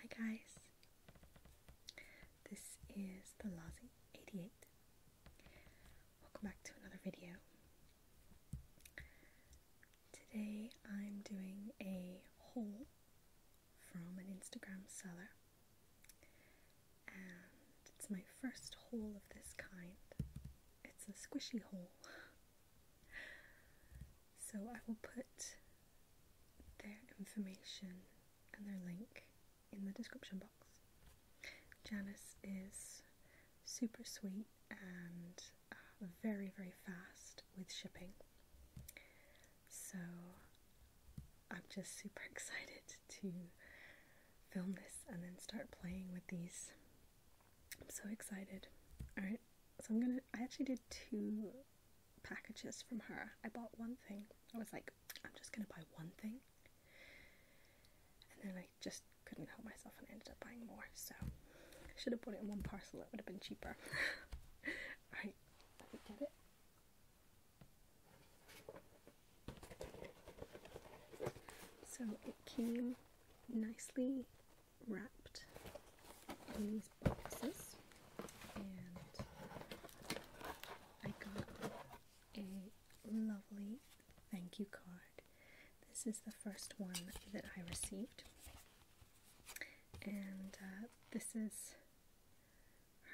Hi guys, this is the Lazy88. Welcome back to another video. Today I'm doing a haul from an Instagram seller, and it's my first haul of this kind. It's a squishy haul. So I will put their information and their link in the description box. Janice is super sweet and uh, very, very fast with shipping. So I'm just super excited to film this and then start playing with these I'm so excited. Alright, so I'm gonna. I actually did two packages from her. I bought one thing. I was like, I'm just gonna buy one thing. And then I just couldn't help myself and ended up buying more. So I should have put it in one parcel, it would have been cheaper. Alright, let me get it. So it came nicely wrapped in these boxes and I got a lovely thank you card. This is the first one that I received and uh, this is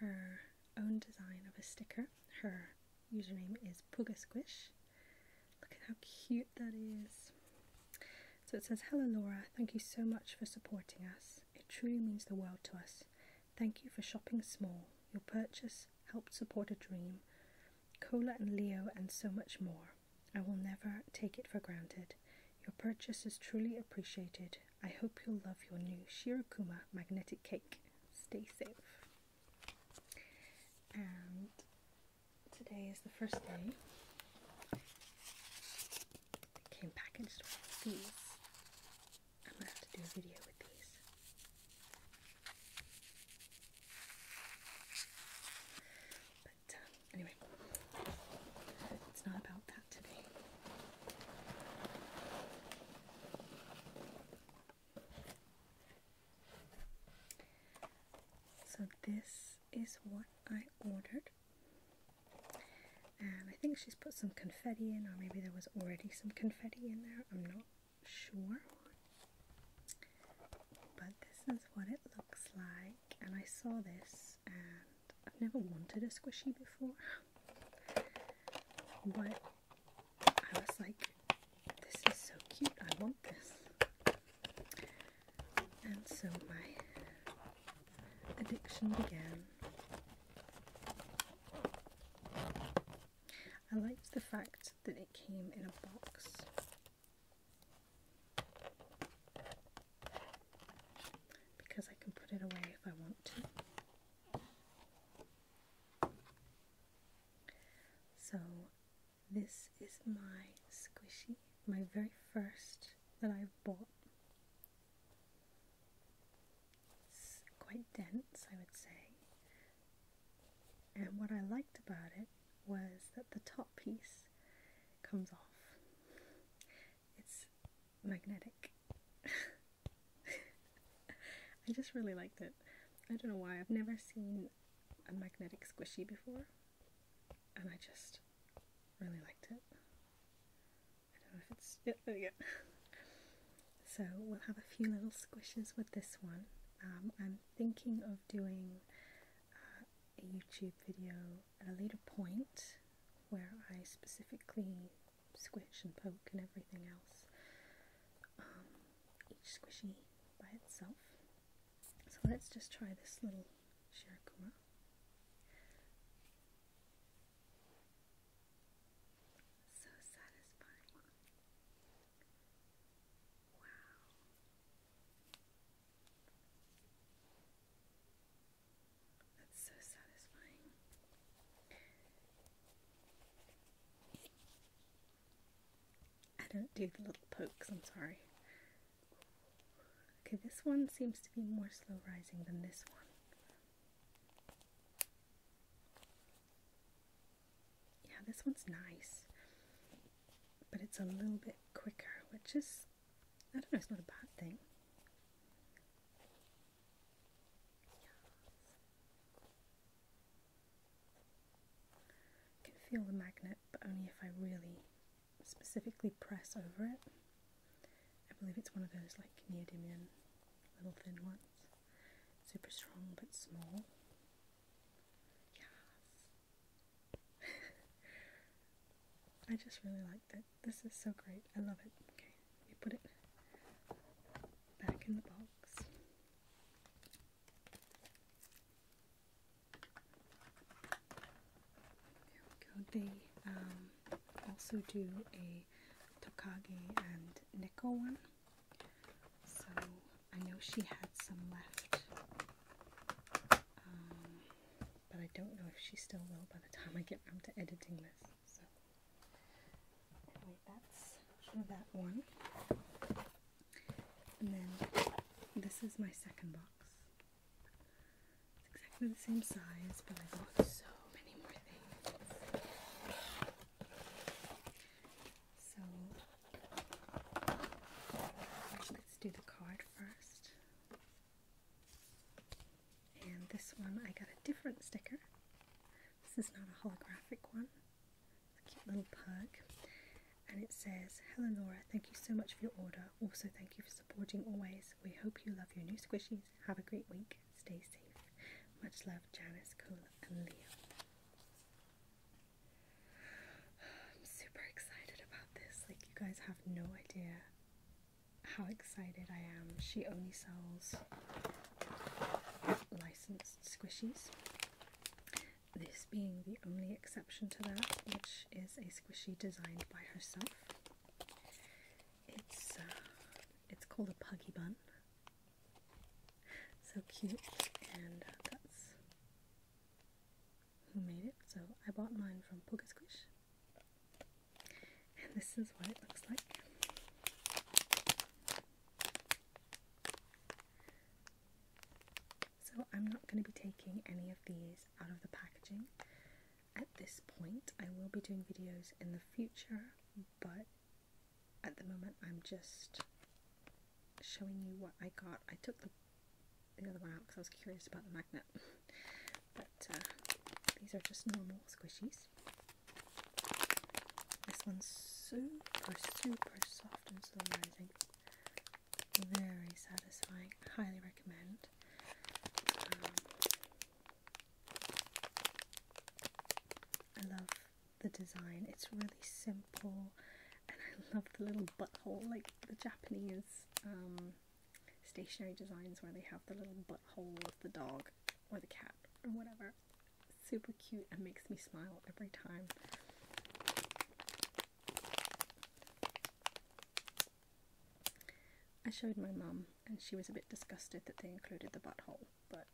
her own design of a sticker. Her username is Pugasquish Look at how cute that is. So it says, Hello Laura, thank you so much for supporting us. It truly means the world to us. Thank you for shopping small. Your purchase helped support a dream, Cola and Leo, and so much more. I will never take it for granted. Your purchase is truly appreciated. I hope you'll love your new Shirakuma magnetic cake. Stay safe. And Today is the first day. came packaged with these. I'm gonna have to do a video with these. But um, anyway, it's not about that today. So this is what I ordered. And I think she's put some confetti in, or maybe there was already some confetti in there. I'm not sure. But this is what it looks like. And I saw this, and I've never wanted a squishy before. But I was like, this is so cute. I want this. And so my addiction began. I liked the fact that it came in a box. Because I can put it away if I want to. So this is my squishy, my very first that I bought. It's quite dense, I would say. And what I liked about it was that the top piece comes off. It's magnetic. I just really liked it. I don't know why. I've never seen a magnetic squishy before, and I just really liked it. I don't know if it's yeah, there we go. so we'll have a few little squishes with this one. Um, I'm thinking of doing uh, a YouTube video at a later point where I specifically squish and poke and everything else. Um, each squishy by itself. So let's just try this little Shirakuma. So satisfying. Wow. That's so satisfying. I don't do the little pokes, I'm sorry. Okay, this one seems to be more slow rising than this one. Yeah, this one's nice, but it's a little bit quicker, which is, I don't know, it's not a bad thing. I can feel the magnet, but only if I really specifically press over it. I believe it's one of those like neodymium little thin ones. Super strong but small. Yes. I just really like that. This is so great. I love it. Okay, we put it back in the box. They um, also do a Tokage and Nico one. So I know she had some left. Um, but I don't know if she still will by the time I get around to editing this. So that's that one. And then this is my second box. It's exactly the same size, but I got so many more things. So let's do the card first. And this one I got a different sticker. This is not a holographic one. It's a cute little pug. And it says, Hello Laura, thank you so much for your order. Also, thank you for supporting always. We hope you love your new squishies. Have a great week. Stay safe. Much love, Janice, Cola, and Leo. I'm super excited about this. Like, you guys have no idea how excited I am. She only sells licensed squishies. This being the only exception to that, which is a squishy designed by herself. It's uh, it's called a puggy bun. So cute, and that's who made it. So I bought mine from Poker Squish. And this is what it looks like. So I'm not going to be taking any of these out of the packaging at this point. I will be doing videos in the future, but at the moment I'm just showing you what I got. I took the, the other one out because I was curious about the magnet. but uh, these are just normal squishies. This one's super, super soft and solarizing. Very satisfying. Highly recommend. Um, I love the design. It's really simple, and I love the little butthole, like the Japanese um, stationary designs where they have the little butthole bullet hole of the dog or the cat or whatever. Super cute and makes me smile every time. I showed my mum and she was a bit disgusted that they included the butthole, but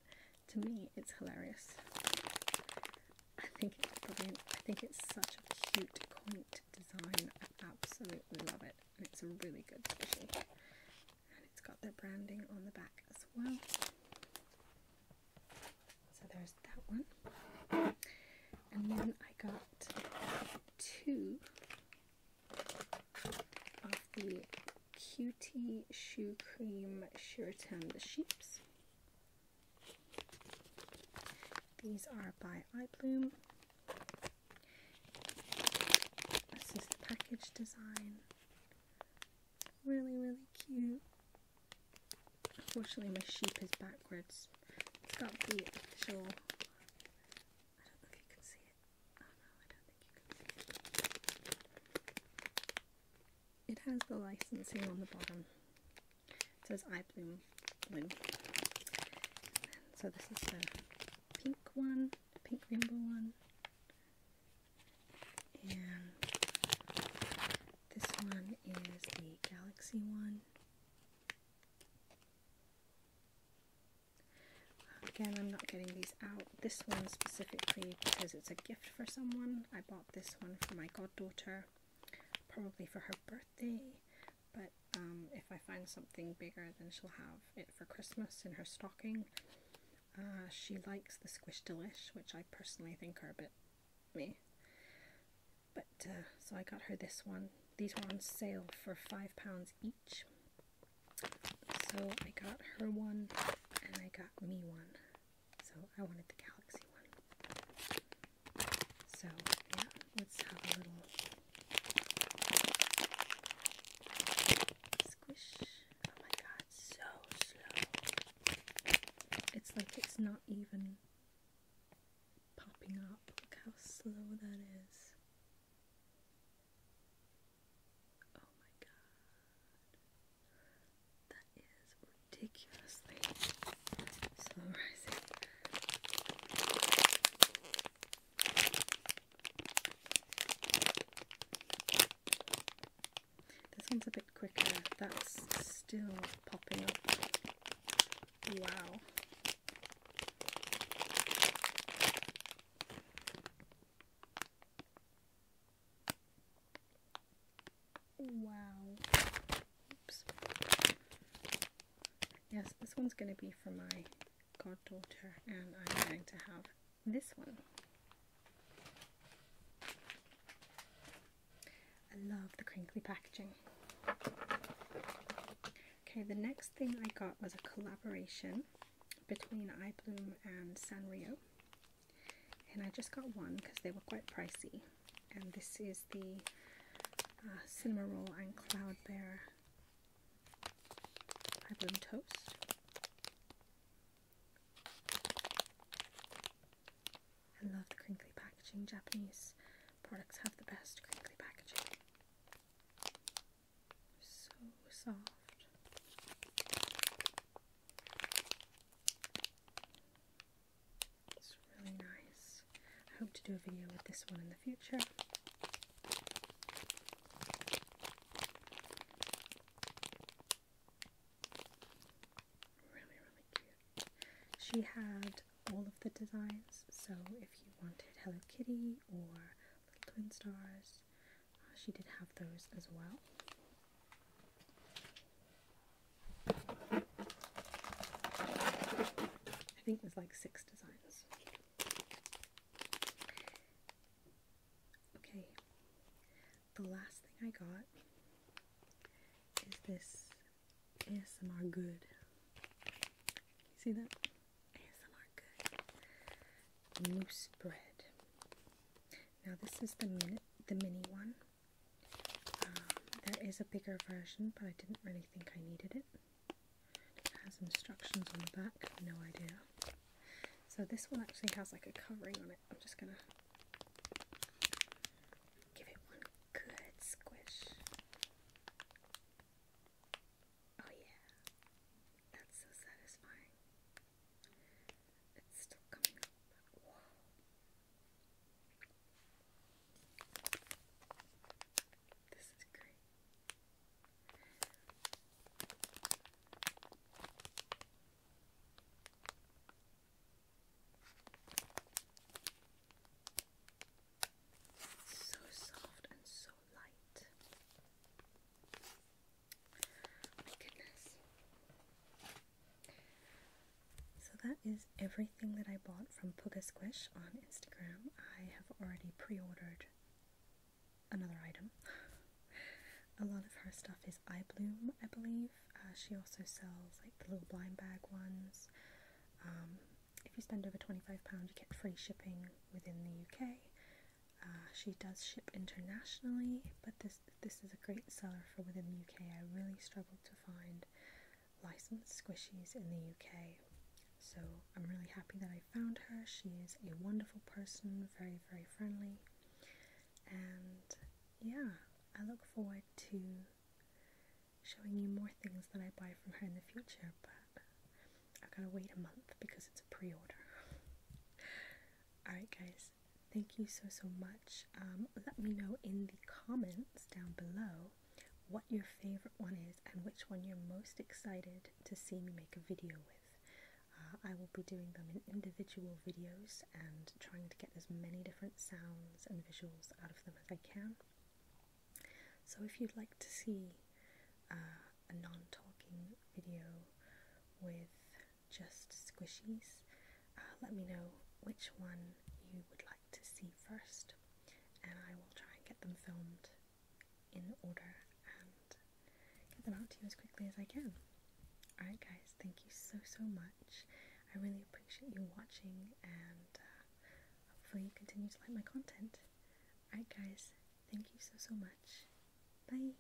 to me it's hilarious. I think it's brilliant. I think it's such a cute, quaint design. absolutely love it it's a really good edition and it's got their branding on the back as well. So there's that one. And then I got two of the Cutie Shoe Cream Sheraton the Sheeps. These are by iBloom this is the package design. Really, really cute. Unfortunately, my sheep is backwards. It's got the actual. I don't think you can see it. Oh no, I don't think you can it. has the licensing on the bottom. It says iBloom Bloom. So this is the pink one, pink rainbow one, and this one is the galaxy one. Again, I'm not getting these out. This one specifically because it's a gift for someone. I bought this one for my goddaughter, probably for her birthday but um, if I find something bigger then she'll have it for Christmas in her stocking. Uh, she likes the Squish Delish, which I personally think are a bit me. But uh, so I got her this one. These were on sale for five pounds each. So I got her one and I got me one. So I wanted the Galaxy one. So yeah, let's have a little Squish. Oh my god, so slow. It's like it's not even popping up. Look how slow that is. Oh my god. That is ridiculously slow rising. This one's a bit quicker. That's still popping up. Wow. Wow. Oops. Yes, this one's going to be for my goddaughter, and I'm going to have this one. I love the crinkly packaging. Okay, the next thing I got was a collaboration between iBloom and Sanrio. And I just got one because they were quite pricey and this is the uh, Cinema roll and cloud bear high toast. I love the crinkly packaging. Japanese products have the best crinkly packaging. So soft. It's really nice. I hope to do a video with this one in the future. Really, really cute. She had all of the designs, so if you wanted Hello Kitty or Little Twin Stars, uh, she did have those as well. I think there's like six designs. Okay, the last thing I got is this ASMR Good. You see that? ASMR Good. Loose bread. Now this is the, min the mini one there is a bigger version, but I didn't really think I needed it. It has instructions on the back, no idea. So this one actually has like a covering on it. I'm just gonna give it one good squish. Oh yeah, that's so satisfying. It's still coming up. Whoa. This is great. So soft and so light. My goodness. So that is everything that I bought from Puga Squish on Instagram. I have already pre-ordered another item. a lot of her stuff is eye bloom, I believe. Uh, she also sells like the little blind bag ones. Um, if you spend over £25, you get free shipping within the UK. Uh, she does ship internationally, but this this is a great seller for within the UK. I really struggled to find licensed squishies in the UK, so I'm really happy that I found her. She is a wonderful person, very, very friendly, and yeah, I look forward to showing you more things that I buy from her in the future, but I've got to wait a month because it's a pre order. Alright, guys, thank you so so much. Um, let me know in the comments down below what your favorite one is and which one you're most excited to see me make a video with. Uh, I will be doing them in individual videos and trying to get as many different sounds and visuals out of them as I can. So if you'd like to see uh, a non-talking video with just squishies. Uh, let me know which one you would like to see first, and I will try and get them filmed in order and get them out to you as quickly as I can. Alright, guys, thank you so so much. I really appreciate you watching, and uh, hopefully, you continue to like my content. Alright, guys, thank you so so much. Bye.